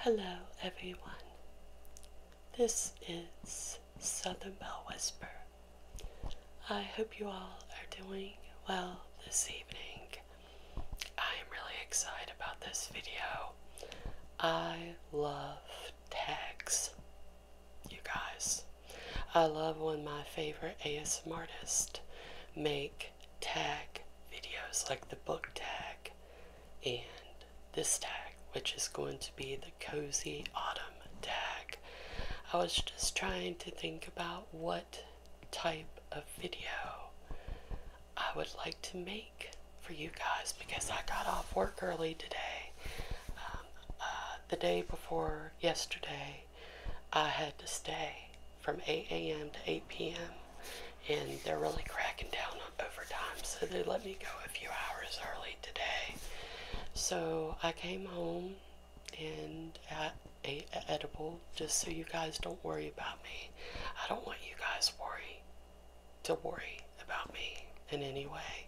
Hello, everyone. This is Southern Bell Whisper. I hope you all are doing well this evening. I am really excited about this video. I love tags, you guys. I love when my favorite ASMR artist make tag videos like the book tag and this tag, which is going to be the Cozy Autumn tag. I was just trying to think about what type of video I would like to make for you guys because I got off work early today. Um, uh, the day before yesterday, I had to stay from 8 a.m. to 8 p.m. And they're really cracking down on overtime, so they let me go a few hours early today. So I came home and ate edible just so you guys don't worry about me. I don't want you guys worry to worry about me in any way.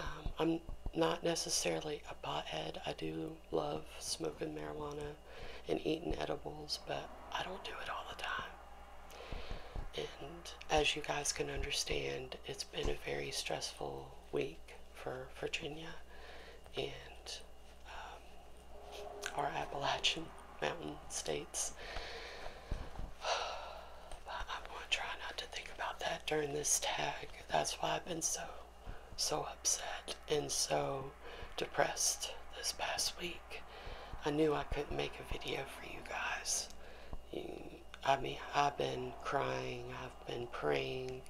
Um, I'm not necessarily a pothead. I do love smoking marijuana and eating edibles, but I don't do it all the time. And as you guys can understand, it's been a very stressful week for Virginia and um, our Appalachian mountain states. I'm going to try not to think about that during this tag. That's why I've been so, so upset and so depressed this past week. I knew I couldn't make a video for you guys. I mean, I've been crying, I've been praying.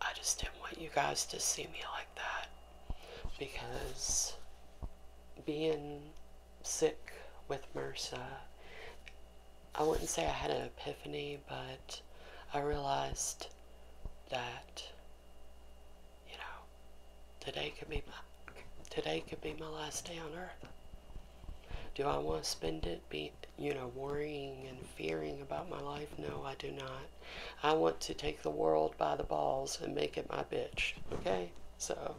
I just didn't want you guys to see me like that because being sick with MRSA, I wouldn't say I had an epiphany, but I realized that you know, today could be my today could be my last day on earth. Do I want to spend it be you know worrying and fearing about my life? No, I do not. I want to take the world by the balls and make it my bitch. Okay, so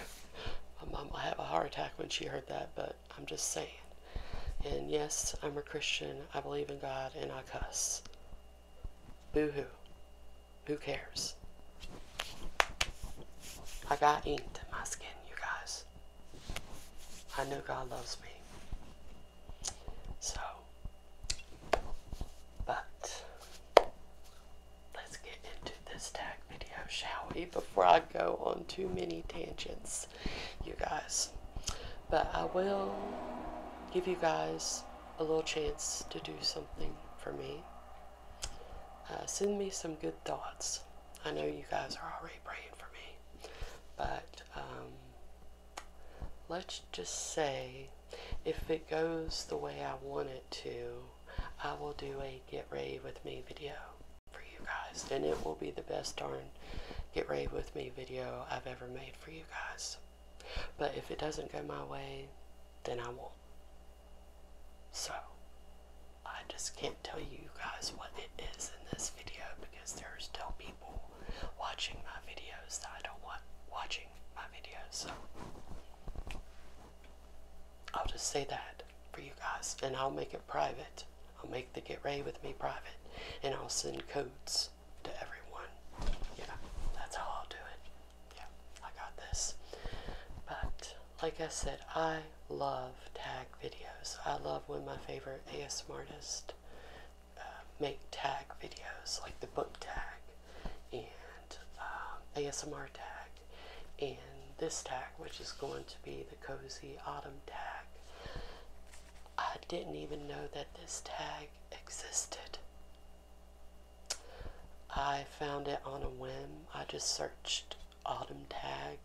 my mom will have a heart attack when she heard that, but I'm just saying. And yes, I'm a Christian. I believe in God, and I cuss. Boo hoo. Who cares? I got ink in my skin, you guys. I know God loves me. So, but let's get into this tag video, shall we? Before I go on too many tangents, you guys. But I will give you guys a little chance to do something for me, uh, send me some good thoughts. I know you guys are already praying for me, but um, let's just say if it goes the way I want it to, I will do a get ready with me video for you guys, and it will be the best darn get ready with me video I've ever made for you guys. But if it doesn't go my way, then I won't. So, I just can't tell you guys what it is in this video because there's still people watching my videos that I don't want watching my videos. So, I'll just say that for you guys and I'll make it private. I'll make the Get Ready With Me private and I'll send codes to everyone. Yeah, that's how I'll do it yeah, I got this. But like I said, I love tag videos. I love when my favorite ASM uh, make tag videos, like the book tag and uh, ASMR tag and this tag, which is going to be the Cozy Autumn tag. I didn't even know that this tag existed I found it on a whim. I just searched autumn tag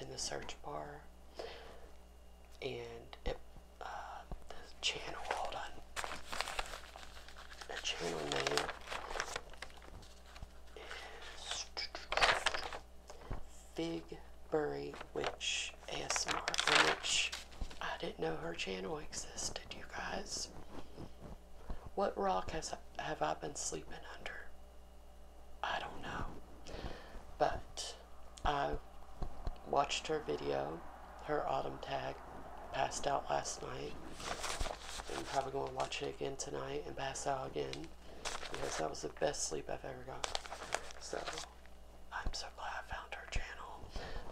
in the search bar and it, uh, the channel, hold on, the channel name is Figbury Witch ASMR Witch I didn't know her channel existed, you guys. What rock has have I been sleeping under? I don't know. But I watched her video, her autumn tag, passed out last night. I'm probably going to watch it again tonight and pass out again because that was the best sleep I've ever got. So I'm so glad I found her channel.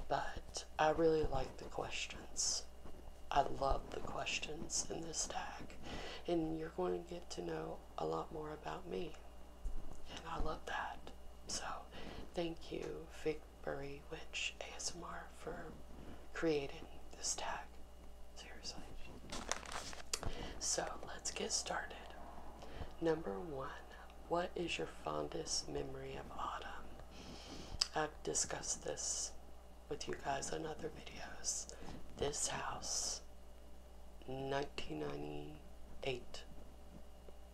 But I really like the questions. I love the questions in this tag, and you're going to get to know a lot more about me, and I love that. So, thank you, Figberry Witch ASMR, for creating this tag. Seriously. So, let's get started. Number one what is your fondest memory of autumn? I've discussed this with you guys on other videos. This house, 1998.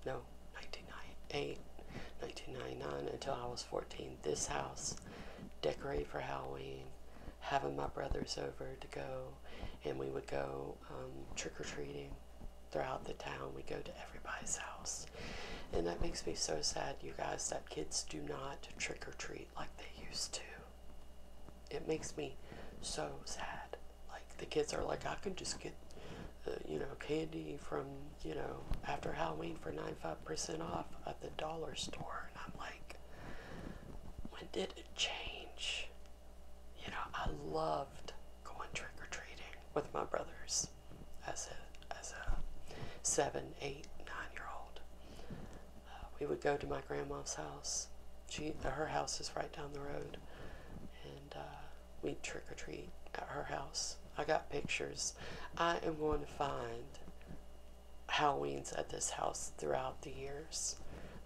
No, 1998, 1999 until I was 14. This house, decorated for Halloween, having my brothers over to go, and we would go um, trick or treating throughout the town. We go to everybody's house. And that makes me so sad, you guys, that kids do not trick or treat like they used to. It makes me so sad. Like, the kids are like, I can just get, uh, you know, candy from, you know, after Halloween for 95% off at the dollar store. And I'm like, when did it change? You know, I loved going trick or treating with my brothers as a, seven, eight, nine year old. Uh, we would go to my grandma's house. She, uh, her house is right down the road, and uh, we'd trick or treat at her house. I got pictures. I am going to find Halloweens at this house throughout the years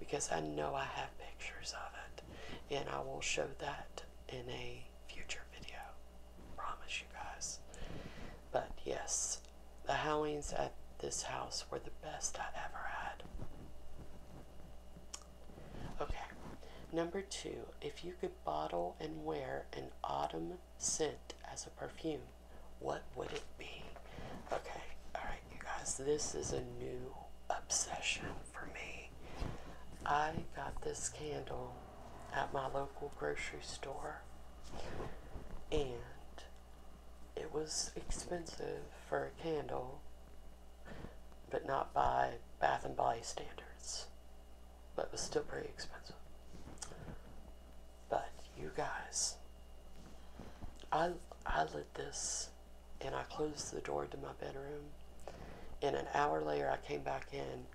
because I know I have pictures of it, and I will show that in a future video. Promise you guys. But yes, the howlings at this house were the best I ever had. Okay, number two, if you could bottle and wear an autumn scent as a perfume, what would it be? Okay, alright, you guys, this is a new obsession for me. I got this candle at my local grocery store, and it was expensive for a candle, but not by Bath and Body standards, but was still pretty expensive. But you guys, I I lit this, and I closed the door to my bedroom. And an hour later, I came back in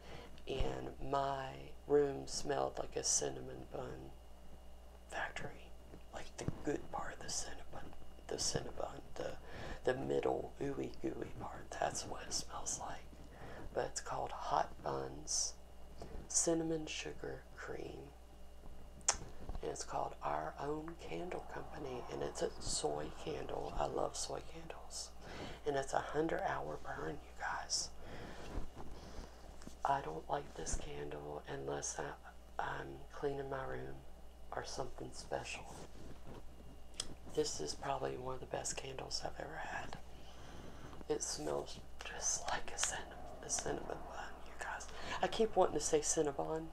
and my room smelled like a cinnamon bun factory, like the good part of the cinnamon, the cinnamon, the the middle ooey gooey part. That's what it smells like. But it's called hot buns, cinnamon sugar cream. And it's called Our Own Candle Company, and it's a soy candle. I love soy candles and it's a hundred hour burn, you guys. I don't light this candle unless I, am cleaning my room or something special. This is probably one of the best candles I've ever had. It smells just like a cinnamon, a cinnamon bun, you guys. I keep wanting to say Cinnabon.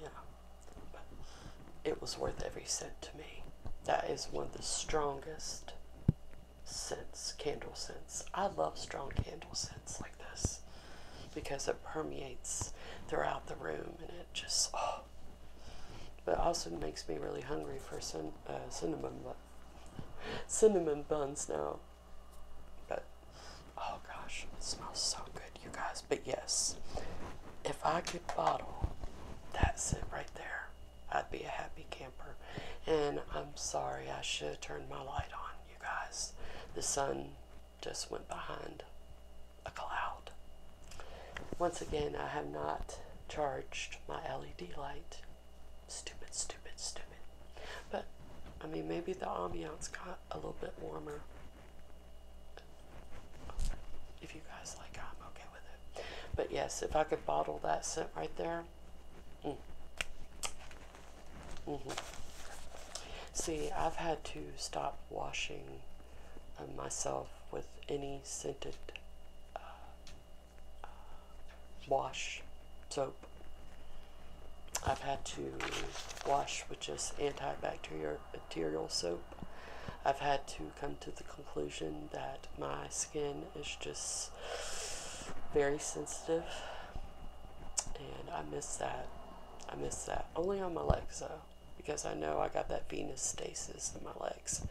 Yeah, but it was worth every cent to me. That is one of the strongest scents, candle scents. I love strong candle scents like this because it permeates throughout the room and it just, oh. But also makes me really hungry for some uh, cinnamon, bu- cinnamon buns now. But oh gosh, it smells so good you guys. But yes, if I could bottle, that's it right there. I'd be a happy camper. And I'm sorry, I should have turned my light on, you guys. The sun just went behind a cloud. Once again, I have not charged my LED light. Stupid, stupid, stupid. But, I mean, maybe the ambiance got a little bit warmer. If you guys like I'm okay with it. But yes, if I could bottle that scent right there. Mm. Mm -hmm. See, I've had to stop washing uh, myself with any scented uh, uh, wash soap. I've had to wash with just antibacterial soap I've had to come to the conclusion that my skin is just very sensitive, and I miss that. I miss that. Only on my legs, though, because I know I got that venous stasis in my legs.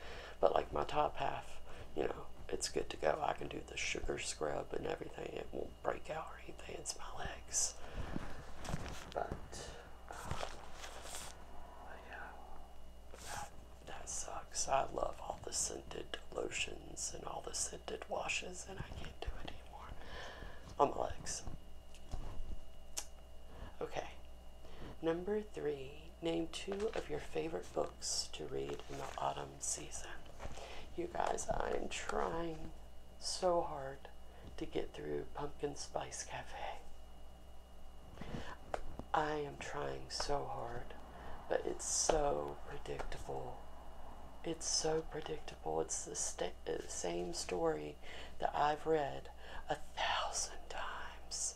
But like my top half, you know, it's good to go. I can do the sugar scrub and everything. It won't break out or anything. It's my legs. But that, that sucks. I love all the scented lotions and all the scented washes, and I can't do it anymore on my legs. Okay, number three. Name two of your favorite books to read in the autumn season. You guys, I am trying so hard to get through Pumpkin Spice Cafe. I am trying so hard, but it's so predictable. It's so predictable. It's the uh, same story that I've read a thousand times.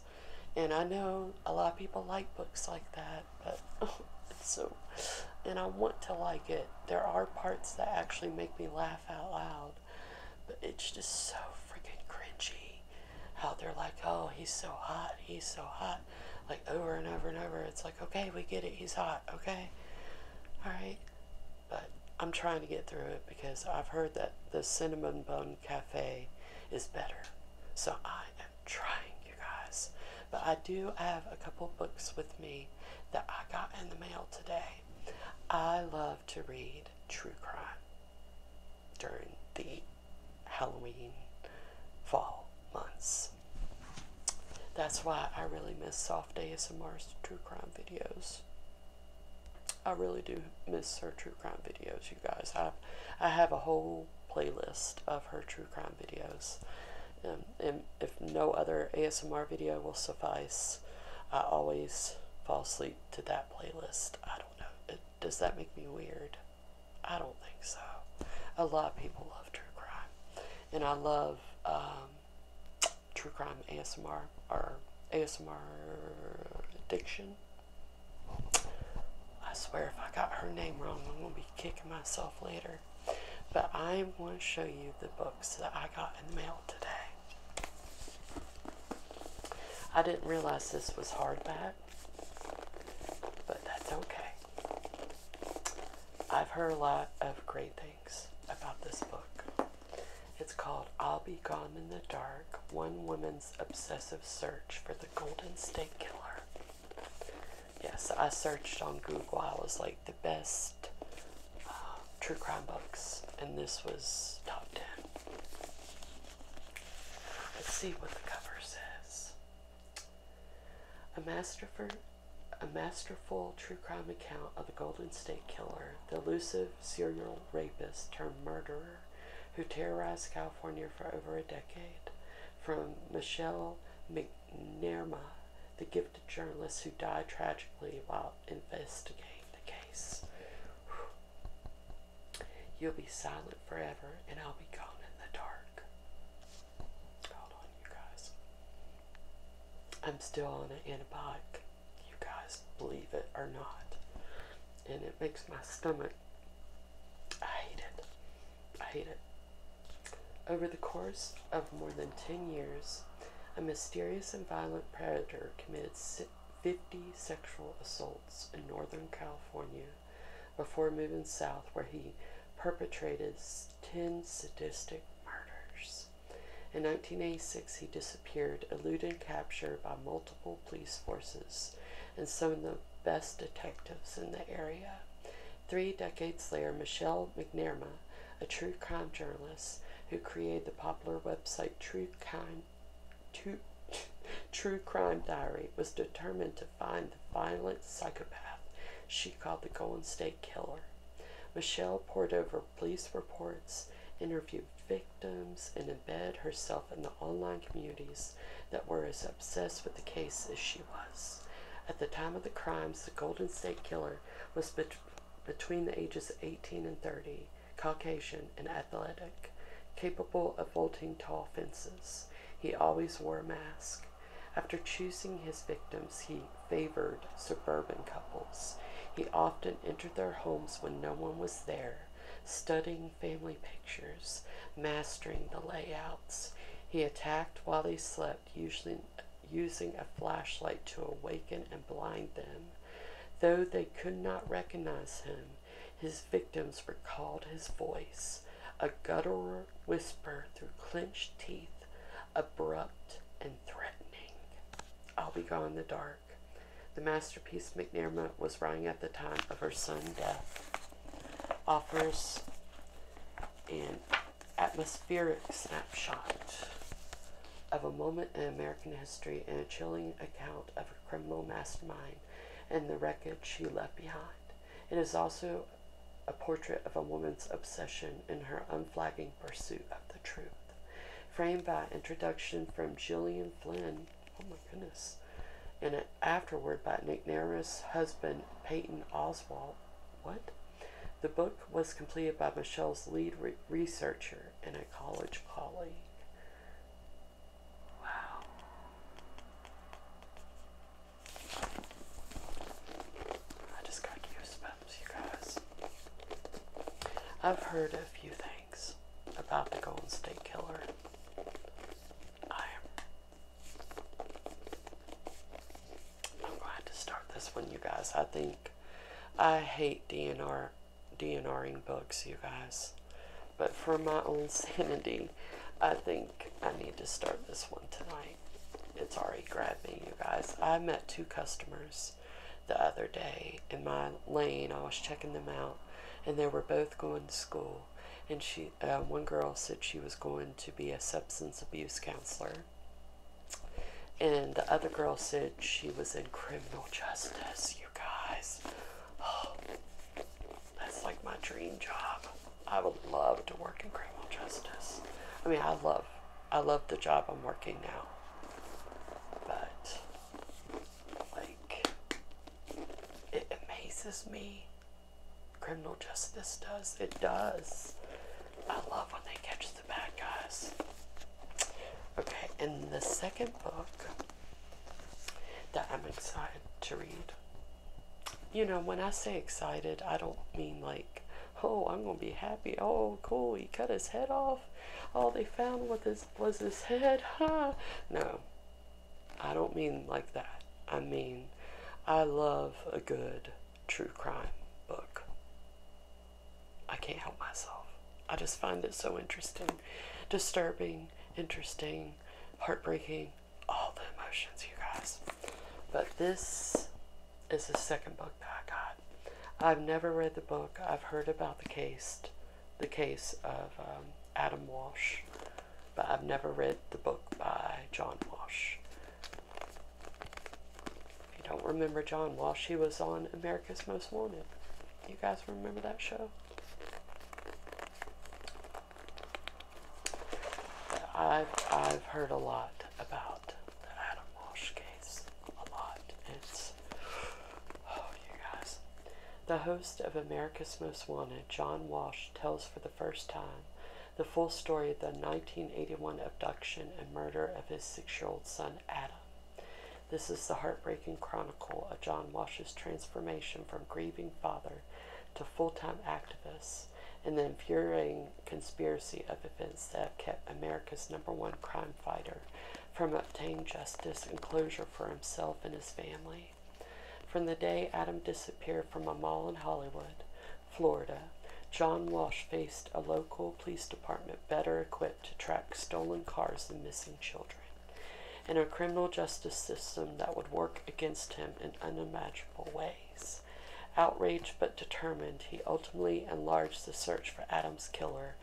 And I know a lot of people like books like that, but it's so. And I want to like it. There are parts that actually make me laugh out loud. But it's just so freaking cringy how they're like, oh, he's so hot, he's so hot. Like over and over and over. It's like, okay, we get it, he's hot, okay? Alright. But I'm trying to get through it because I've heard that the Cinnamon Bun Cafe is better. So I am trying, you guys. But I do have a couple books with me that I got in the mail today. I love to read true crime during the Halloween fall months. That's why I really miss Soft ASMR's true crime videos. I really do miss her true crime videos, you guys. I, I have a whole playlist of her true crime videos. Um, and if no other ASMR video will suffice, I always fall asleep to, that playlist. I don't know. does that make me weird? I don't think so. A lot of people love true crime, and I love um, true crime ASMR or ASMR addiction. I swear, if I got her name wrong, I'm gonna be kicking myself later. But I want to show you the books that I got in the mail today. I didn't realize this was hardback, but that's okay. I've heard a lot of great things about this book. It's called I'll Be Gone in the Dark One Woman's Obsessive Search for the Golden State Killer. Yes, I searched on Google. I was like, the best um, true crime books, and this was top 10. Let's see what the cover says. A masterful, a masterful true crime account of the Golden State Killer, the elusive serial rapist turned murderer who terrorized California for over a decade. From Michelle McNerma, the gifted journalist who died tragically while investigating the case. You'll be silent forever, and I'll be gone in the dark. Hold on, you guys. I'm still on an antibiotic, you guys, believe it or not. And it makes my stomach. I hate it. I hate it. Over the course of more than 10 years, a mysterious and violent predator committed 50 sexual assaults in Northern California before moving south, where he perpetrated 10 sadistic murders. In 1986, he disappeared, eluding capture by multiple police forces and some of the best detectives in the area. Three decades later, Michelle McNamara, a true crime journalist who created the popular website True Crime true, crime diary was determined to find the violent psychopath she called the Golden State Killer. Michelle poured over police reports, interviewed victims, and embedded herself in the online communities that were as obsessed with the case as she was. At the time of the crimes, the Golden State Killer was between the ages of 18 and 30. Caucasian and athletic, capable of vaulting tall fences. He always wore a mask. After choosing his victims, he favored suburban couples. He often entered their homes when no one was there, studying family pictures, mastering the layouts. He attacked while they slept, usually using a flashlight to awaken and blind them Though they could not recognize him, his victims recalled his voice, a guttural whisper through clenched teeth, abrupt and threatening. I'll be gone in the dark. The masterpiece McNairmont was writing at the time of her son's death. Offers an atmospheric snapshot of a moment in American history and a chilling account of her criminal mastermind and the wreckage she left behind. It is also a portrait of a woman's obsession in her unflagging pursuit of the truth. Framed by introduction from Gillian Flynn, oh my goodness, and afterward by Nick Nair's husband, Peyton Oswald. What? The book was completed by Michelle's lead researcher, and a college colleague. Wow. I just got goosebumps, you guys. I've heard a few things about the Golden State Killer. I'm going to start this one, you guys. I think I hate DNR DNRing books, you guys. But for my own sanity, I think I need to start this one tonight. It's already grabbing you guys. I met two customers the other day in my lane. I was checking them out, and they were both going to school. And she, uh, one girl said she was going to be a substance abuse counselor, and the other girl said she was in criminal justice guys. Oh, that's like my dream job. I would love to work in criminal justice. I mean, I love, I love the job I'm working now. But like, it amazes me. Criminal justice does. It does. I love when they catch the bad guys. Okay, and the second book that I'm excited to read. You know, when I say excited, I don't mean like, oh, I'm gonna be happy. Oh, cool, he cut his head off. Oh, they found what his was his head, huh? No, I don't mean like that. I mean, I love a good true crime book. I can't help myself. I just find it so interesting, disturbing, interesting, heartbreaking, all the emotions, you guys. But this is the second book that I got. I've never read the book. I've heard about the case, the case of um, Adam Walsh, but I've never read the book by John Walsh. If you don't remember John Walsh, he was on American. America's Most Wanted. You guys remember that show? I've, heard a lot about the Adam Walsh case. A lot. It's, oh, you guys. The host of America's Most Wanted, John Walsh, tells for the first time the full story of the 1981 abduction and murder of his six year old son, Adam. This is the heartbreaking chronicle of John Walsh's transformation from grieving father to full time activist and the infuriating conspiracy of events that have kept America's number one crime fighter from obtaining justice and closure for himself and his family. From the day Adam disappeared from a mall in Hollywood, Florida, John Walsh faced a local police department better equipped to track stolen cars and missing children, and a criminal justice system that would work against him in unimaginable ways. Outraged but determined, he ultimately enlarged the search for Adam's killer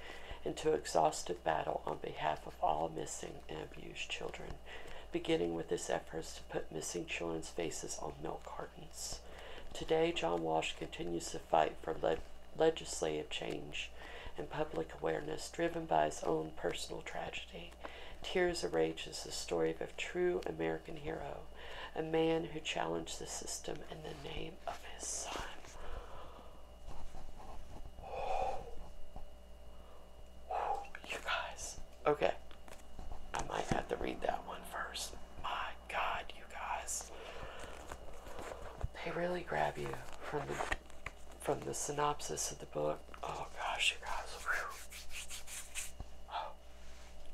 into exhaustive battle on behalf of all missing and abused children, beginning with his efforts to put missing children's faces on milk cartons. Today, John Walsh continues to fight for legislative change and public awareness driven by his own personal tragedy. Tears of Rage is the story of a true American hero, a man who challenged the system in the name of his son. You guys. Okay. I might have to read that one first. My God, you guys they really grab you from the from the synopsis of the book. Oh gosh, you guys. Oh,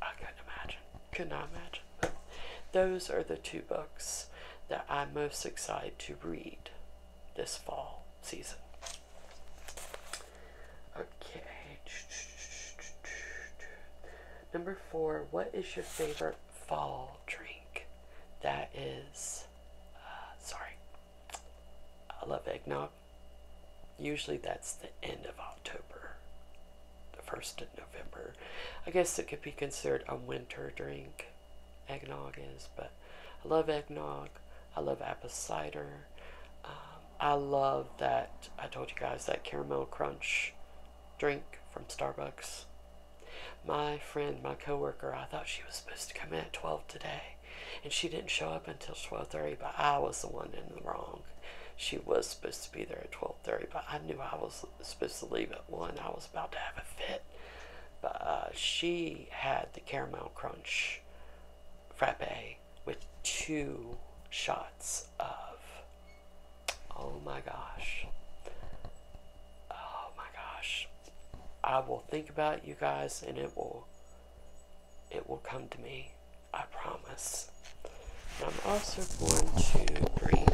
I couldn't imagine. Could not imagine. those are the two books that I'm most excited to read this fall season. Okay. Number four, what is your favorite fall drink? that is, uh, sorry, I love eggnog. Usually that's the end of October, the 1st of November. I guess it could be considered a winter drink, eggnog is, but I love eggnog. I love apple cider. Um, I love that, I told you guys, that caramel crunch drink from Starbucks. My friend, my coworker, I thought she was supposed to come in at 12 today, and she didn't show up until 12:30. But I was the one in the wrong. She was supposed to be there at 12:30, but I knew I was supposed to leave at one. I was about to have a fit, but uh, she had the caramel crunch frappe with two shots of Oh my gosh. Oh my gosh. I will think about you guys and it will it will come to me. I promise. I'm also going to bring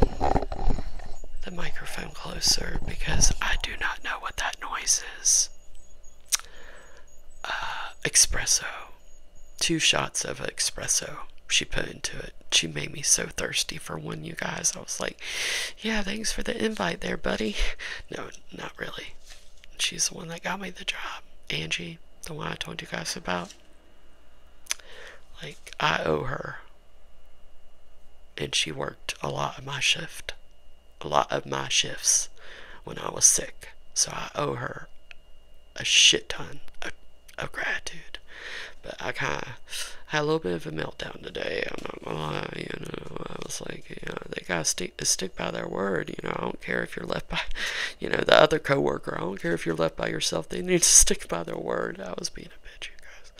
the microphone closer because I do not know what that noise is. Uh, espresso. Two shots of espresso she put into it. She made me so thirsty for one, you guys. I was like, yeah, thanks for the invite there, buddy. No, not really. She's the one that got me the job. Angie, the one I told you guys about. Like, I owe her. And she worked a lot of my shift. A lot of my shifts when I was sick. So I owe her a shit ton of gratitude. But I kind of had a little bit of a meltdown today. I'm not gonna lie, you know. I was like, you know, they gotta stick stick by their word. You know, I don't care if you're left by, you know, the other coworker. I don't care if you're left by yourself. They need to stick by their word. I was being a bitch, you guys.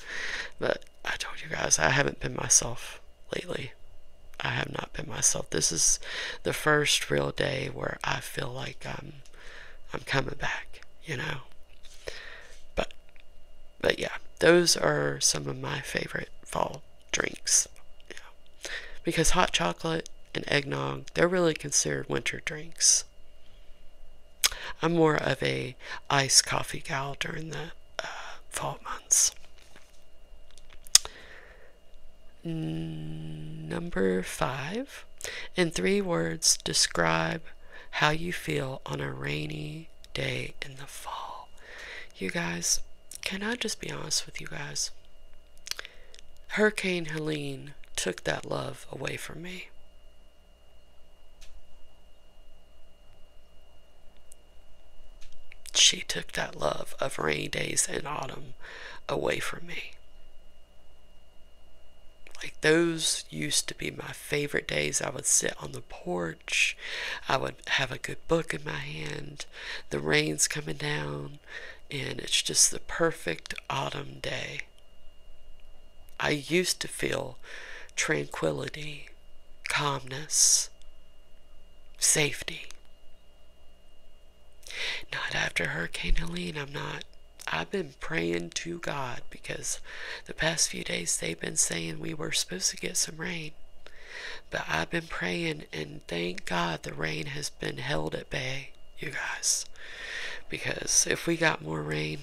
But I told you guys, I haven't been myself lately. I have not been myself. This is the first real day where I feel like I'm I'm coming back, you know. But but yeah, those are some of my favorite fall drinks. Because hot chocolate and eggnog, they're really considered winter drinks. I'm more of a iced coffee gal during the uh, fall months. Number five, in three words, describe how you feel on a rainy day in the fall. You guys, can I just be honest with you guys? Hurricane Helene took that love away from me. She took that love of rainy days and autumn away from me. Like those used to be my favorite days. I would sit on the porch. I would have a good book in my hand. The rain's coming down, and it's just the perfect autumn day. I used to feel tranquility, calmness, safety. Not after Hurricane Helene, I'm not. I've been praying to God because the past few days they've been saying we were supposed to get some rain. But I've been praying, and thank God the rain has been held at bay, you guys. Because if we got more rain,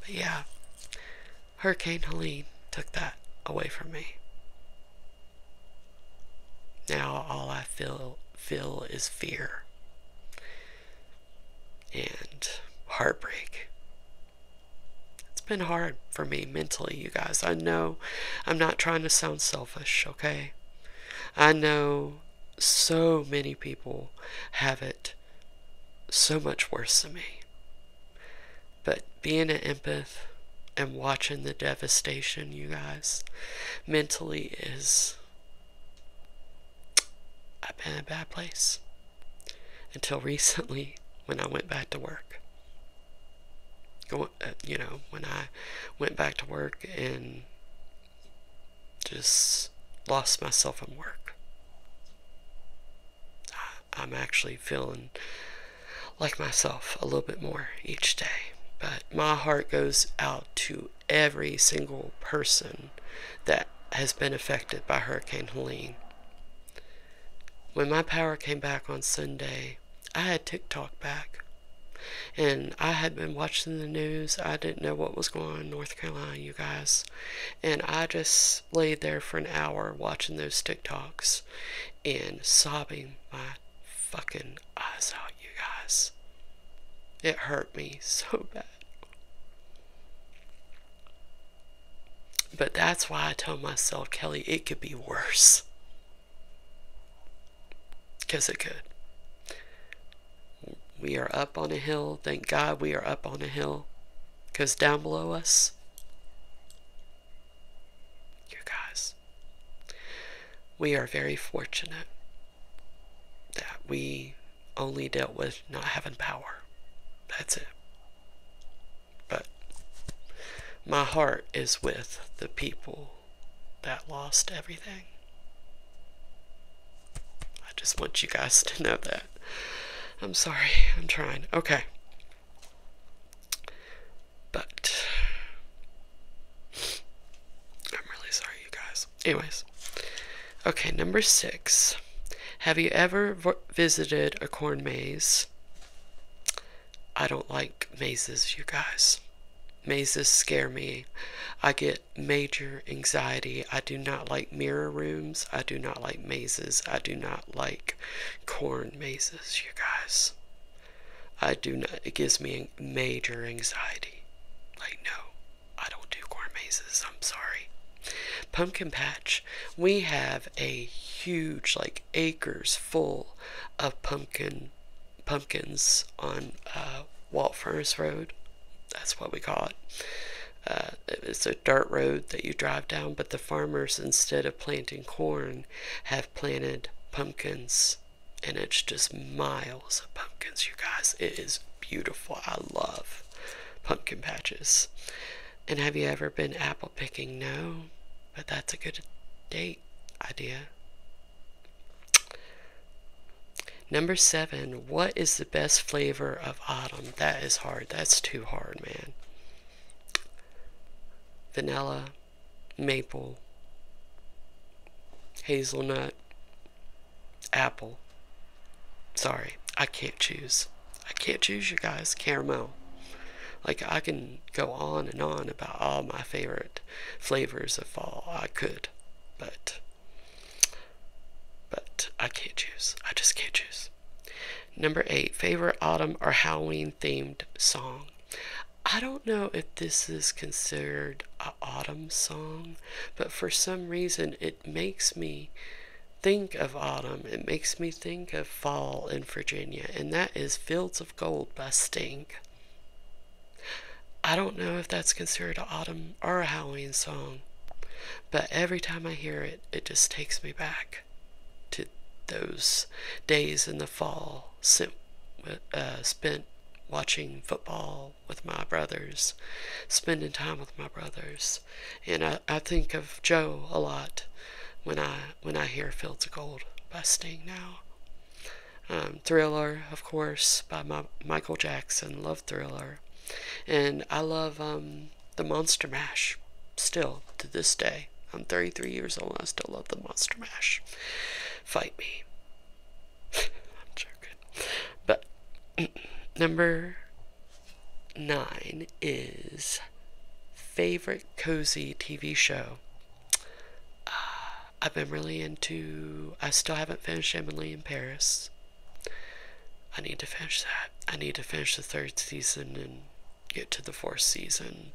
but yeah, Hurricane Helene took that away from me. Now all I feel feel is fear and heartbreak. It's been hard for me mentally, you guys. I know I'm not trying to sound selfish, okay? I know so many people have it so much worse than me. But being an empath and watching the devastation, you guys, mentally is I've been in a bad place until recently when I went back to work. Going, uh, you know, when I went back to work and just lost myself in work. I'm actually feeling like myself a little bit more each day. But my heart goes out to every single person that has been affected by Hurricane Helene. When my power came back on Sunday, I had TikTok back. And I had been watching the news. I didn't know what was going on in North Carolina, you guys. And I just laid there for an hour watching those TikToks and sobbing my fucking eyes out, you guys. It hurt me so bad. But that's why I tell myself, Kelly, it could be worse. Because it could. We are up on a hill. Thank God we are up on a hill. Because down below us, you guys, we are very fortunate that we only dealt with not having power. That's it. But my heart is with the people that lost everything. I just want you guys to know that. I'm sorry, I'm trying. Okay. But I'm really sorry, you guys. Anyways. Okay, number six. Have you ever visited a corn maze? I don't like mazes, you guys. Mazes scare me. I get major anxiety. I do not like mirror rooms. I do not like mazes. I do not like corn mazes, you guys. I do not, it gives me major anxiety. I know. I don't do corn mazes. I'm sorry. Pumpkin patch. We have a huge, like acres full of pumpkin pumpkins on uh, Walt Furnace Road. That's what we call uh, it. it's a dirt road that you drive down, but the farmers, instead of planting corn, have planted pumpkins. And it's just miles of pumpkins, you guys. It is beautiful. I love pumpkin patches. And have you ever been apple picking? No, but that's a good date idea. Number seven, what is the best flavor of autumn? That is hard. That's too hard, man. Vanilla, maple, hazelnut, apple. Sorry, I can't choose. I can't choose you guys caramel. Like I can go on and on about all my favorite flavors of fall. I could, but but I can't choose. I just can't choose. Number eight, favorite autumn or Halloween themed song. I don't know if this is considered an autumn song, but for some reason it it makes me think of autumn. It makes me think of fall in Virginia, and that is Fields of Gold busting. I don't know if that's considered autumn or a Halloween song, but every time I hear it, it just takes me back to those days in the fall uh, spent watching football with my brothers, spending time with my brothers. And I, I think of Joe a lot when I when I hear Fields of Gold busting now. Um, Thriller, of course, by my, Michael Jackson. Love Thriller. And I love um, the Monster Mash still to this day. I'm 33 years old. I still love the Monster Mash. Fight me. I'm joking. But number nine is favorite cozy TV show. Uh, I've been really into. I still haven't finished Emily in Paris. I need to finish that. I need to finish the third season and get to the fourth season.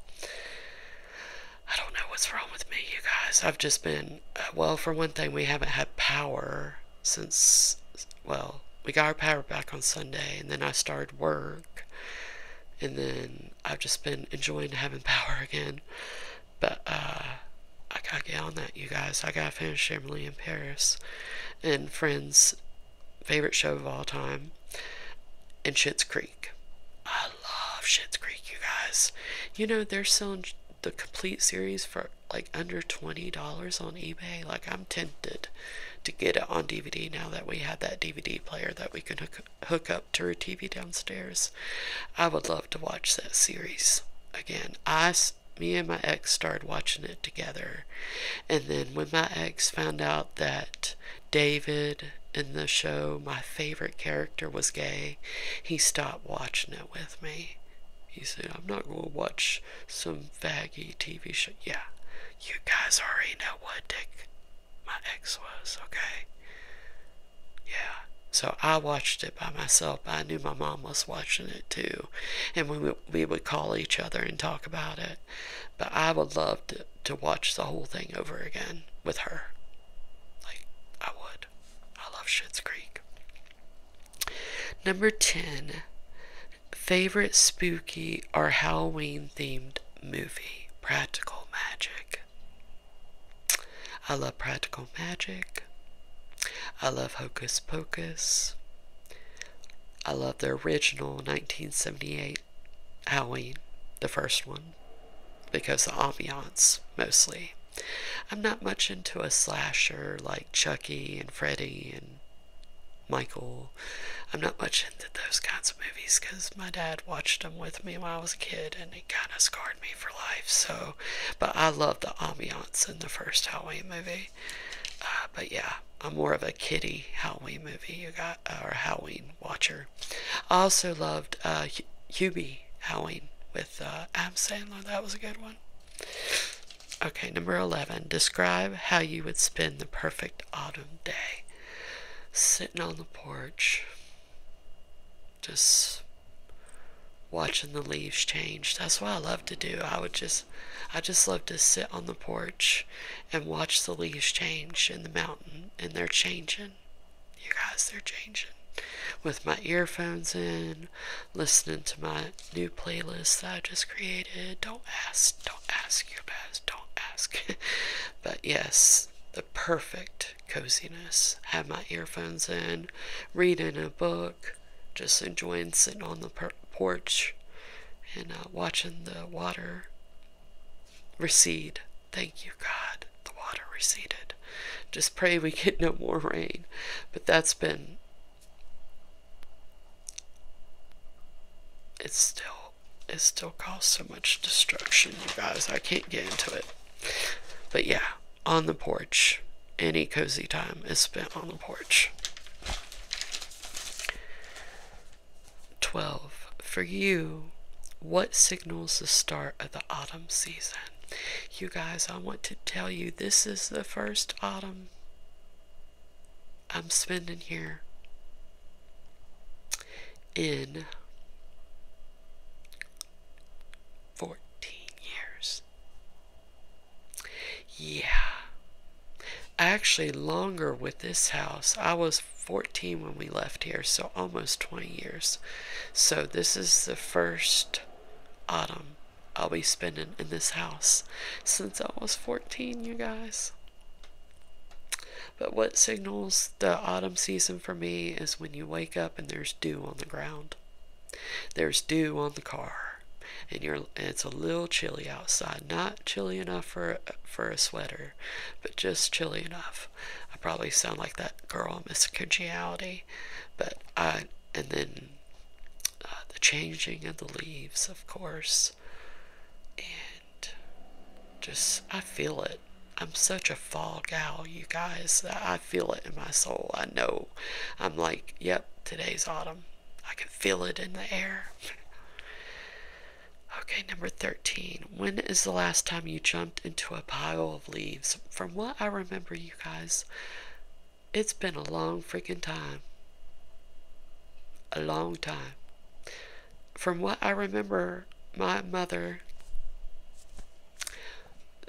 I don't know what's wrong with me, you guys. I've just been, uh, well, for one thing, we haven't had power since, well, we got our power back on Sunday, and then I started work, and then I've just been enjoying having power again. But, uh, I gotta get on that, you guys. I gotta finish Emily in Paris and Friends' favorite show of all time, and Schitt's Creek. I love Schitt's Creek, you guys. You know, they're selling the complete series for like under $20 on eBay. Like I'm tempted to get it on DVD now that we have that DVD player that we can hook, hook up to a TV downstairs. I would love to watch that series again. I me and my ex started watching it together. And then when my ex found out that David in the show, my favorite character, was gay, he stopped watching it with me. He said, I'm not going to watch some faggy TV show. Yeah, you guys already know what dick my ex was, okay? Yeah. So I watched it by myself. I knew my mom was watching it too. And we would, we would call each other and talk about it. But I would love to, to watch the whole thing over again with her. Like, I would. I love Schitt's Creek. Number 10 Favorite spooky or Halloween themed movie? Practical Magic. I love Practical Magic. I love Hocus Pocus. I love the original 1978 Halloween, the first one, because the ambiance mostly. I'm not much into a slasher like. Chucky and Freddy and Michael. I'm not much into those kinds of movies because my dad watched them with me when I was a kid and it kind of scarred me for life. So, but I love the ambiance in the first Halloween movie. Uh, but yeah, I'm more of a kiddie Halloween movie, you got, or Halloween watcher. I also loved uh, Hubie Halloween with uh, Adam Sandler. That was a good one. Okay, number 11. Describe how you would spend the perfect autumn day. Sitting on the porch, just watching the leaves change. That's what I love to do. I would just, I just love to sit on the porch and watch the leaves change in the mountain, and they're changing. You guys, they're changing. With my earphones in, listening to my new playlist that I just created. Don't ask, don't ask your best, don't ask. but yes, the perfect coziness. Have my earphones in, reading a book, just enjoying sitting on the porch and uh, watching the water recede. Thank you, God. The water receded. Just pray we get no more rain. But that's been it still it still caused so much destruction, you guys. I can't get into it. But yeah, on the porch. Any cozy time is spent on the porch. 12. For you, what signals the start of the autumn season? You guys, I want to tell you this is the first autumn I'm spending here in 14 years. Yeah. Actually, longer with this house. I was 14 when we left here, so almost 20 years. So, this is the first autumn I'll be spending in this house since I was 14, you guys. But what signals the autumn season for me is when you wake up and there's dew on the ground. There's dew on the car, and you're it's a little chilly outside. Not chilly enough for for a sweater, but just chilly enough. I probably sound like that girl on Miss Congeniality, but I and then uh, the changing of the leaves, of course. And just, I feel it. I'm such a fall gal, you guys, I feel it in my soul. I know. I'm like, yep, today's autumn. I can feel it in the air. okay, number 13. When is the last time you jumped into a pile of leaves? From what I remember, you guys, it's been a long freaking time. A long time. From what I remember, my mother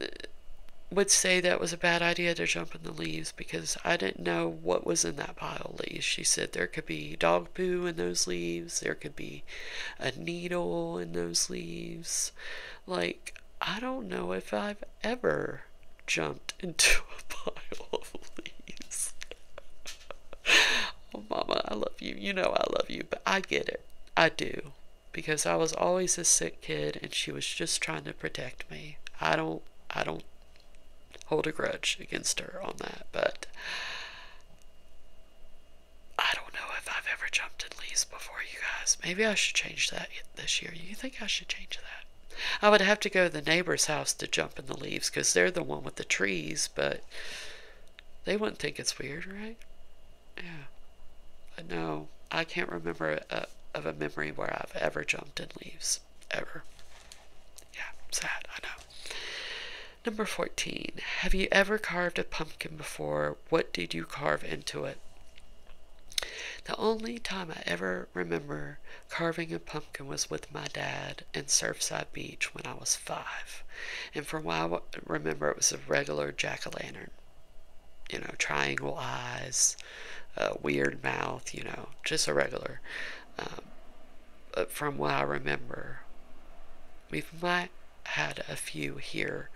uh, would say that was a bad idea to jump in the leaves because I didn't know what was in that pile of leaves. She said there could be dog poo in those leaves, there could be a needle in those leaves. Like, I don't know if I've ever jumped into a pile of leaves. oh, Mama, I love you. You know I love you, but I get it. I do. Because I was always a sick kid and she was just trying to protect me. I don't, I don't hold a grudge against her on that, but I don't know if I've ever jumped in leaves before you guys. Maybe I should change that this year. You think I should change that? I would have to go to the neighbor's house to jump in the leaves because they're the one with the trees, but they wouldn't think it's weird, right? Yeah. no, I can't remember of a memory where I've ever jumped in leaves. Ever. Yeah, sad, I know. Number 14. Have you ever carved a pumpkin before? What did you carve into it? The only time I ever remember carving a pumpkin was with my dad in Surfside Beach when I was five. And from what I remember, it was a regular jack o' lantern. You know, triangle eyes, weird mouth, you know, just a regular. Um, but from what I remember, we have might had a few here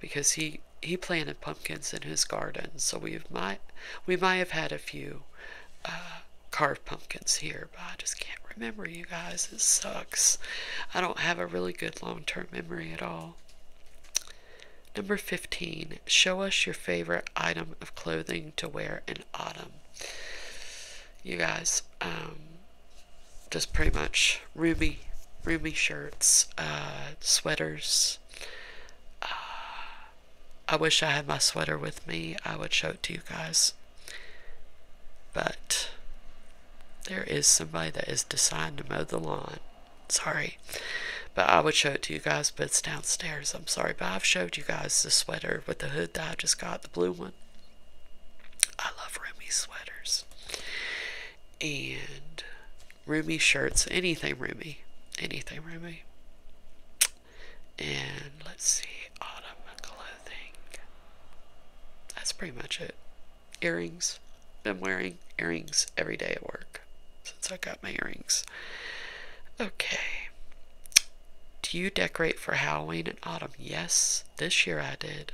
because he he planted pumpkins in his garden, so we might we might have had a few uh, carved pumpkins here, but I just can't remember. You guys, it sucks. I don't have a really good long term memory at all. Number 15, show us your favorite item of clothing to wear in autumn. You guys, um, just pretty much roomy, roomy shirts, uh, sweaters, uh, I wish I had my sweater with me. I would show it to you guys. But there is somebody that is deciding to mow the lawn. Sorry. But I would show it to you guys, but it's downstairs. I'm sorry. But I've showed you guys the sweater with the hood that I just got, the blue one. I love Remy sweaters. And Roomy shirts, anything roomy, anything roomy. And let's see, autumn clothing. That's pretty much it. Earrings. Been wearing earrings every day at work since I got my earrings. Okay. Do you decorate for Halloween and autumn? Yes, this year I did.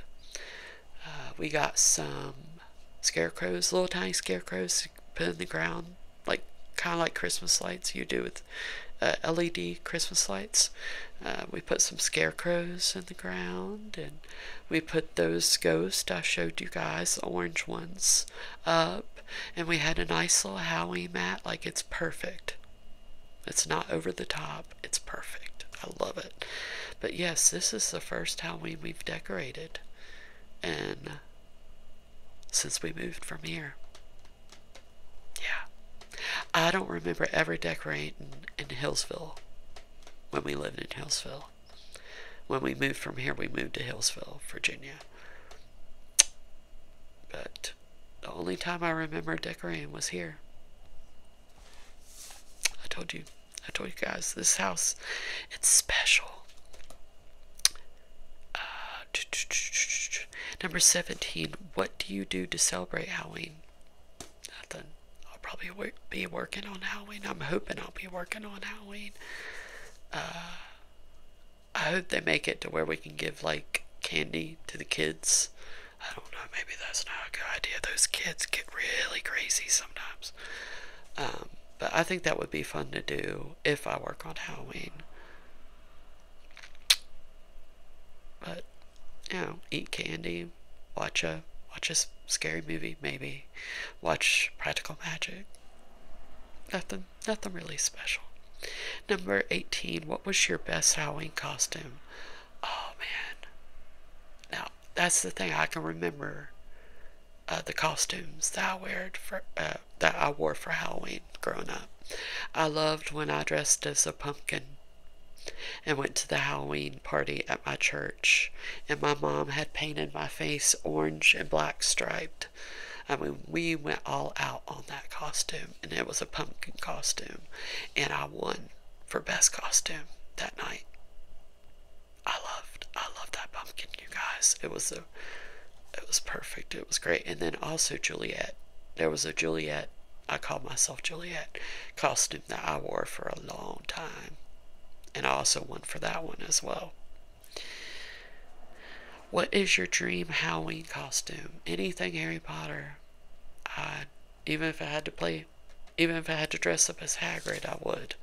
Uh, we got some scarecrows, little tiny scarecrows, put in the ground, like kind of like Christmas lights you do with uh, LED Christmas lights. Uh, we put some scarecrows in the ground, and we put those ghosts I showed you guys, orange ones, up. And we had a nice little Halloween mat, like it's perfect. It's not over the top, it's perfect. I love it. But yes, this is the first Halloween we've decorated and since we moved from here. Yeah. I don't remember ever decorating in Hillsville when we lived in Hillsville. When we moved from here, we moved to Hillsville, Virginia. But the only time I remember decorating was here. I told you. I told you guys this house, it's special. Uh, number 17. What do you do to celebrate Halloween? Nothing. I'll probably be working on Halloween. I'm hoping I'll be working on Halloween. Uh, I hope they make it to where we can give like candy to the kids. I don't know, maybe that's not a good idea. Those kids get really crazy sometimes. Um, but I think that would be fun to do if I work on Halloween. But you know, eat candy, watch a watch a scary movie, maybe watch Practical Magic. Nothing, nothing really special. Number eighteen. What was your best Halloween costume? Oh man. Now that's the thing I can remember uh, the costumes that I wore for uh, that I wore for Halloween growing up. I loved when I dressed as a pumpkin and went to the Halloween party at my church, and my mom had painted my face orange and black striped. I mean, we went all out on that costume, and it was a pumpkin costume, and I won for best costume that night. I loved I loved that pumpkin, you guys. It was a it was perfect. It was great. And then also Juliet. There was a Juliet I called myself Juliet costume that I wore for a long time. And I also won for that one as well. What is your dream Halloween costume? Anything Harry Potter. I even if I had to play even if I had to dress up as Hagrid, I would.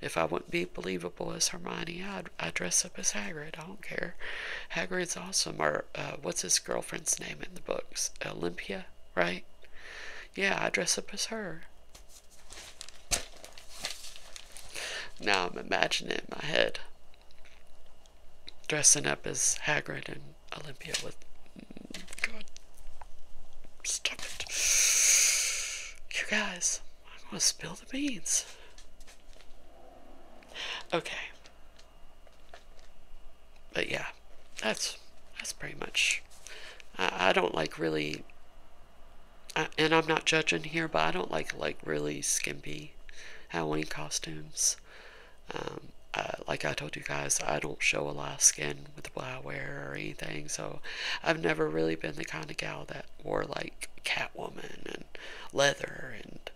If I wouldn't be believable as Hermione, I'd, i dress up as Hagrid. I don't care. Hagrid's awesome. Or uh, what's his girlfriend's name in the books? Olympia, right? Yeah, I dress up as her. Now I'm imagining it in my head. Dressing up as Hagrid and Olympia with. Mm, God. Stop it. You guys. I'm gonna spill the beans. Okay. But yeah, that's that's pretty much. I, I don't like really. and I'm not judging here, but I don't like like really skimpy Halloween costumes. Um, like I told you guys, I don't show a lot of skin with what I wear or anything, so I've never really been the kind of gal that wore like Catwoman and leather and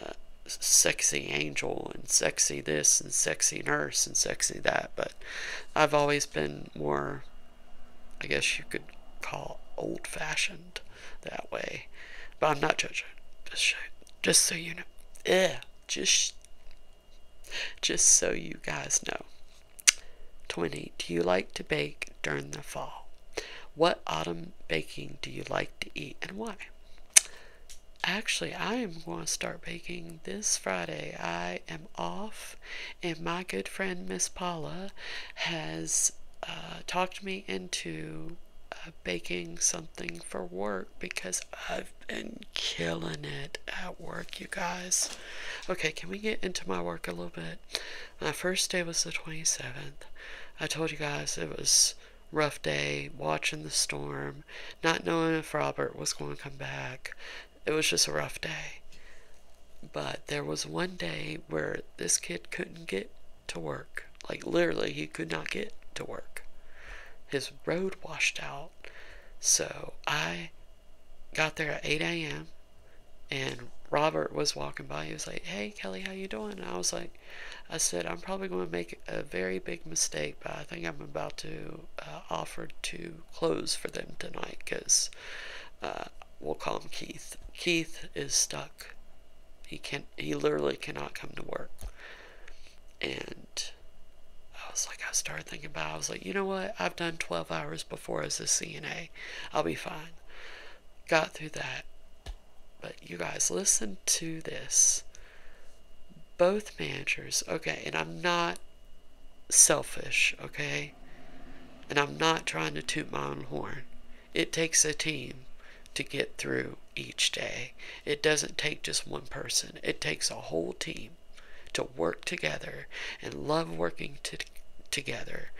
uh, sexy angel and sexy this and sexy nurse and sexy that. But I've always been more, I guess you could call old fashioned that way. But I'm not judging. Just, just so you know. Yeah. Just, just so you guys know. 20. Do you like to bake during the fall? What autumn baking do you like to eat and why? Actually, I am going to start baking this Friday. I am off, and my good friend Miss Paula has uh, talked me into uh, baking something for work because I've been killing it at work, you guys. Okay, can we get into my work a little bit? My uh, first day was the 27th. I told you guys it was rough day watching the storm, not knowing if Robert was going to come back. It was just a rough day. But there was one day where this kid couldn't get to work. Like literally he could not get to work. His road washed out. So I got there at 8 a.m. and Robert was walking by. He was like, "Hey, Kelly, how you doing?" I was like, "I said I'm probably going to make a very big mistake, but I think I'm about to uh, offer to close for them tonight because uh, we'll call him Keith. Keith is stuck. He can he literally cannot come to work." And I was like, I started thinking about. It. I was like, you know what? I've done 12 hours for as a CNA. I'll be fine. Got through that. But you guys, listen to this. Both managers, okay, and I'm not selfish, okay? And I'm not trying to toot my own horn. It takes a team to get through each day. It doesn't take just one person, it takes a whole team to work together and love working to, together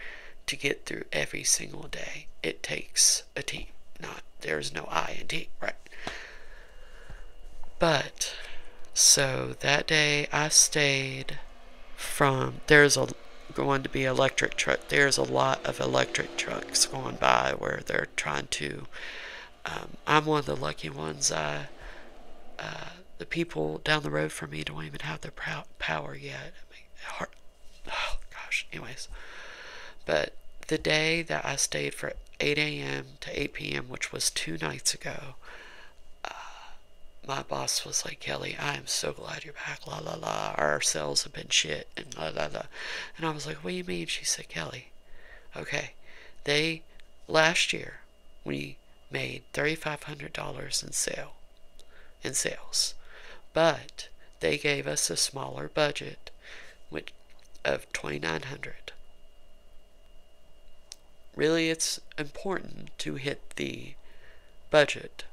to get through every single day. It takes a team. Not there's no I in team, right? But so that day I stayed from there's a going to be electric truck. There's a lot of electric trucks going by where they're trying to. Um, I'm one of the lucky ones. I uh, the people down the road from me don't even have their power yet. oh gosh, anyways. But the day that I stayed for 8 a.m. to 8 p.m., which was two nights ago, uh, my boss was like, Kelly, I am so glad you're back. La la la. Our sales have been shit. And la la la. And I was like, What do you mean? She said, Kelly, okay, they last year we made $3,500 in sale in sales, but they gave us a smaller budget, which of 2,900. Really, it's important to hit the budget,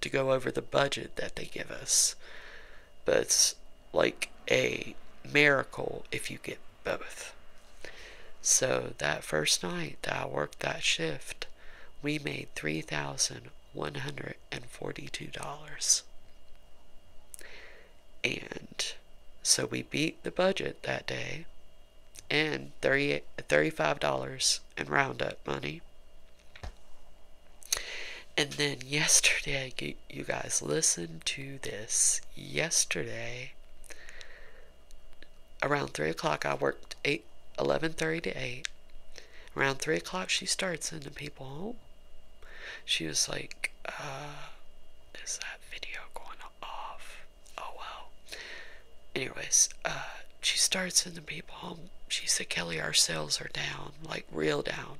to go over the budget that they give us, but it's like a miracle if you get both. So that first night that I worked that shift, we made $3,142. And so we beat the budget that day and 30, $35 in up money. And then yesterday, you guys listened to this. Yesterday, around 3 o'clock, I worked 8, 11.30 to 8. Around 3 o'clock, she started sending people home. She was like, uh, is that video going off? Oh, well. Anyways, uh, she started sending people home. She said, Kelly, our sales are down, like real down.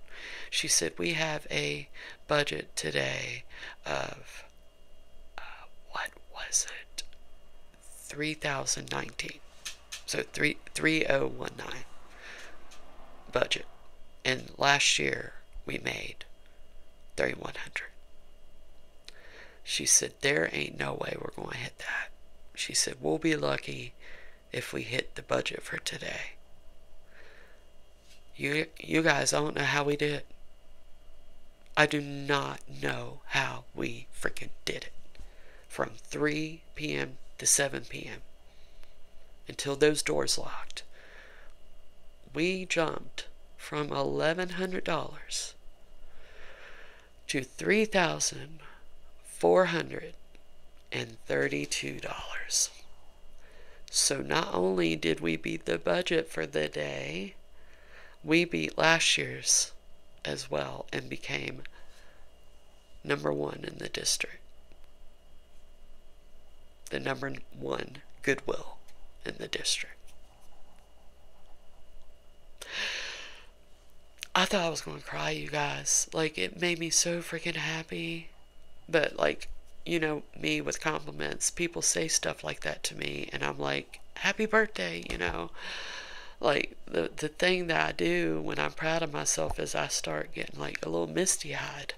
She said, we have a budget today of what was it? 3019. So three, 3019 budget. And last year we made 3100. She said, There ain't no way we're going to hit that. She said, We'll be lucky if we hit the budget for today. You, you guys don't know how we did. I do not know how we freaking did it. From 3 p.m. to 7 p.m. until those doors locked, we jumped from $1,100 to $3,432. So not only did we beat the budget for the day, we beat last year's as well and became number one in the district. The number one Goodwill in the district. I thought I was going to cry, you guys. Like, it made me so freaking happy. But, like, you know, me with compliments, people say stuff like that to me, and I'm like, happy birthday, you know. Like the the thing that I do when I'm proud of myself is I start getting like a little misty eyed.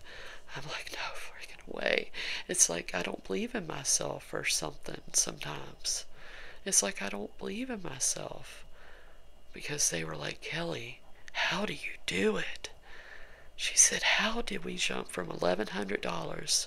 I'm like, no freaking way. It's like I don't believe in myself or something sometimes. It's like I don't believe in myself. Because they were like, Kelly, how do you do it? She said, How did we jump from $1,100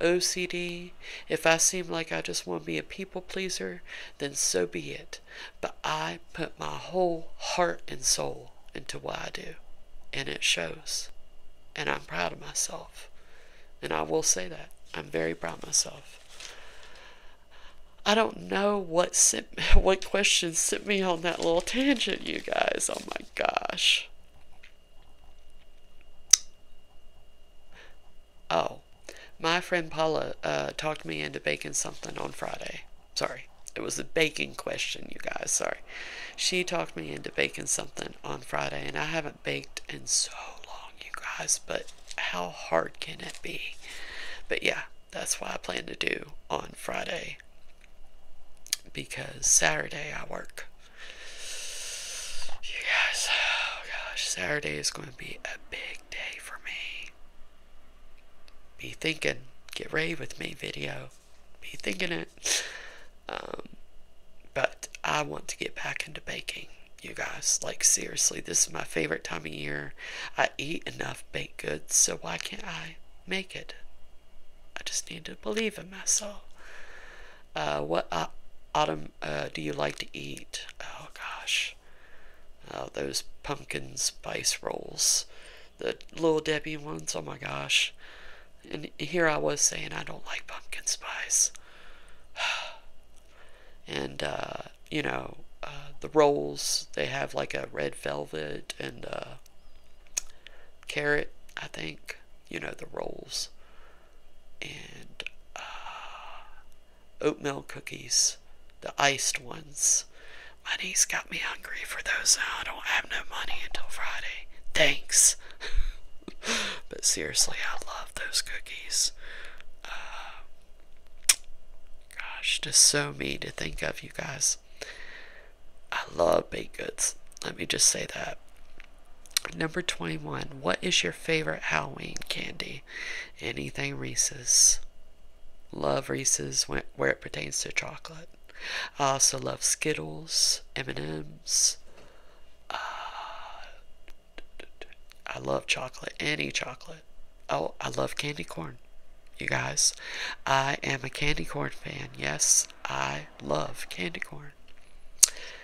OCD, if I seem like I just want to be a people pleaser, then so be it. But I put my whole heart and soul into what I do, and it shows. And I'm proud of myself. And I will say that. I'm very proud of myself. I don't know what sent, what questions sent me on that little tangent, you guys. Oh my gosh. Oh, my friend Paula uh, talked me into baking something on Friday. Sorry, it was a baking question, you guys. Sorry. She talked me into baking something on Friday, and I haven't baked in so long, you guys, but how hard can it be? But yeah, that's what I plan to do on Friday because Saturday I work. You oh gosh, Saturday is going to be a big day for me. Be thinking, get ready with me video. Be thinking it. Um, but I want to get back into baking, you guys. Like, seriously, this is my favorite time of year. I eat enough baked goods, so why can't I make it? I just need to believe in myself. Uh, what uh, autumn uh, do you like to eat? Oh gosh, oh, those pumpkin spice rolls, the little Debbie ones. Oh my gosh, and here I was saying I don't like pumpkin spice, and you know the rolls they have like a red velvet and carrot. I think you know the rolls and uh, oatmeal cookies, the iced ones. Money's got me hungry for those I don't have no money until Friday. Thanks. but seriously, I love those cookies. Uh, gosh, just so mean to think of, you guys. I love baked goods. Let me just say that. Number 21. What is your favorite Halloween candy? Anything Reese's. Love Reese's where it pertains to chocolate. I also love Skittles, M&M's. Uh, I love chocolate, any chocolate. Oh, I love candy corn, you guys. I am a candy corn fan. Yes, I love candy corn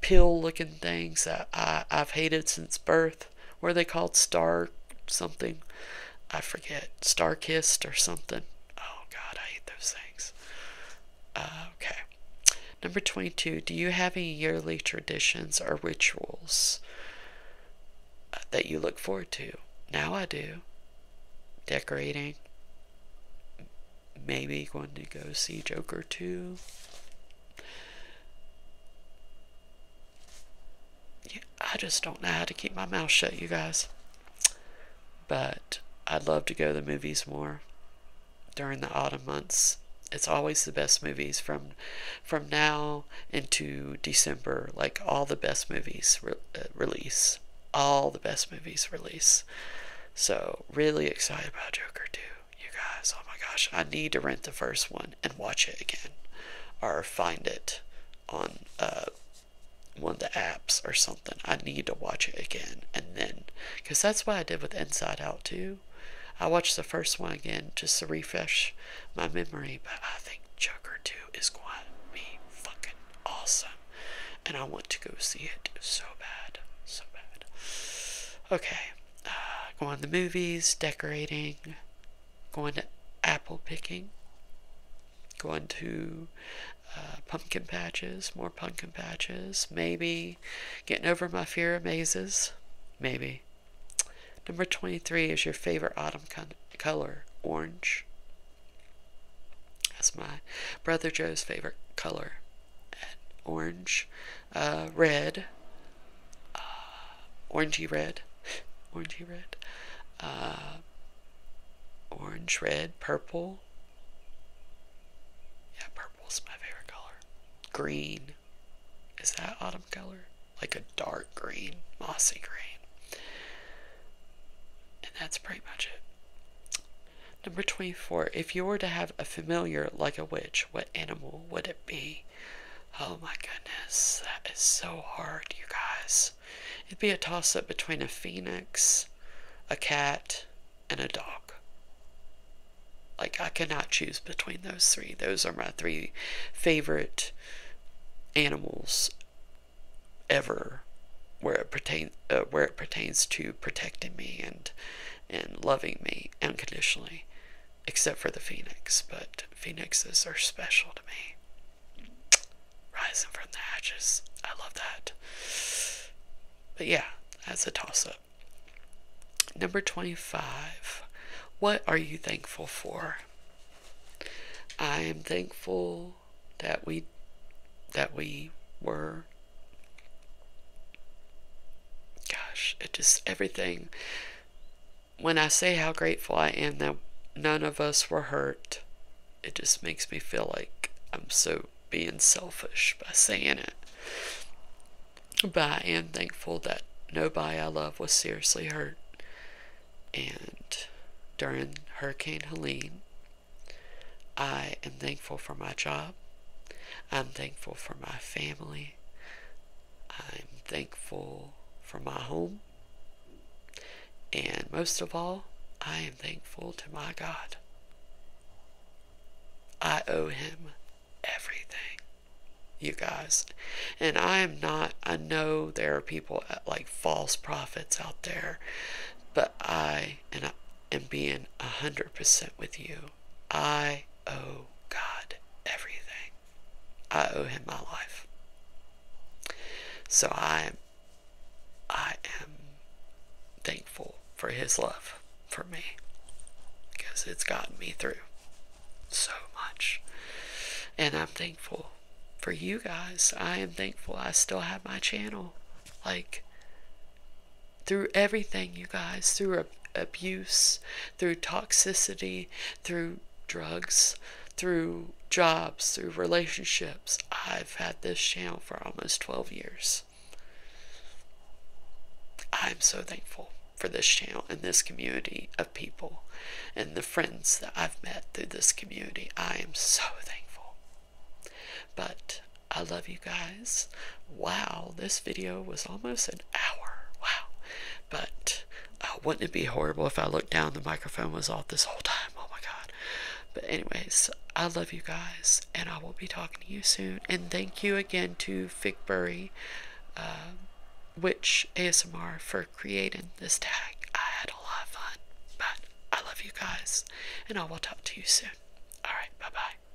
pill looking things that I, I've hated since birth. Were they called? Star something? I forget. Star Kissed or something. Oh god, I hate those things. Uh, okay. Number 22. Do you have any yearly traditions or rituals uh, that you look forward to? Now I do. Decorating, maybe going to go see Joker 2. Yeah, I just don't know how to keep my mouth shut, you guys. But I'd love to go to the movies more during the autumn months. It's always the best movies from from now into December. Like all the best movies uh, release, all the best movies release. So really excited about Joker 2 you guys. Oh my gosh, I need to rent the first one and watch it again, or find it on uh, one of the apps or something. I need to watch it again and then, because that's what I did with Inside Out too. I watched the first one again just to refresh my memory, but I think Joker 2 is going to be fucking awesome. And I want to go see it so bad, so bad. Okay. Uh, going to the movies, decorating, going to apple picking, going to uh, pumpkin patches, more pumpkin patches, maybe getting over my fear of mazes, maybe. Number 23 is your favorite autumn color, orange. That's my brother Joe's favorite color, orange uh, red, uh, orangey red, orangey red, uh, orange, red, purple. Yeah, purple's my favorite color. Green. Is that autumn color? Like a dark green, mossy green. And that's pretty much it. Number 24. If you were to have a familiar like a witch, what animal would it be? Oh my goodness, that is so hard, you guys. It'd be a toss up between a phoenix, a cat, and a dog. Like, I cannot choose between those three. Those are my three favorite animals ever where it uh, pertains to protecting me and and loving me unconditionally, except for the phoenix. But phoenixes are special to me. Rising from the ashes. I love that. But yeah, that's a toss up. Number 25. What are you thankful for? I am thankful that we that we were more. Gosh, it just everything. When I say how grateful I am that none of us were hurt, it just makes me feel like I'm so being selfish by saying it. But I am thankful that nobody I love was seriously hurt. And during Hurricane Helene, I am thankful for my job. I'm thankful for my family. I'm thankful for my home. And most of all, I am thankful to my God. I owe him everything, you guys. And I am not, I know there are people uh, like false prophets out there, but I, and I am being 100% with you. I owe God everything. I owe him my life. So I am I am thankful for his love for me because it's gotten me through so much. And I'm thankful for you guys. I am thankful I still have my channel. Like through everything, you guys, through abuse, through toxicity, through drugs, through jobs, through relationships. I've had this channel for almost 12 years. I'm so thankful for this channel and this community of people and the friends that I've met through this community. I am so thankful. But I love you guys. Wow, this video was almost an hour. Wow. But uh, wouldn't it be horrible if I looked down, the microphone was off this whole time? Oh my god. But, anyways, I love you guys, and I will be talking to you soon. And thank you again to Figbury, uh, um, which ASMR, for creating this tag. I had a lot of fun, but I love you guys, and I will talk to you soon. Alright, bye bye.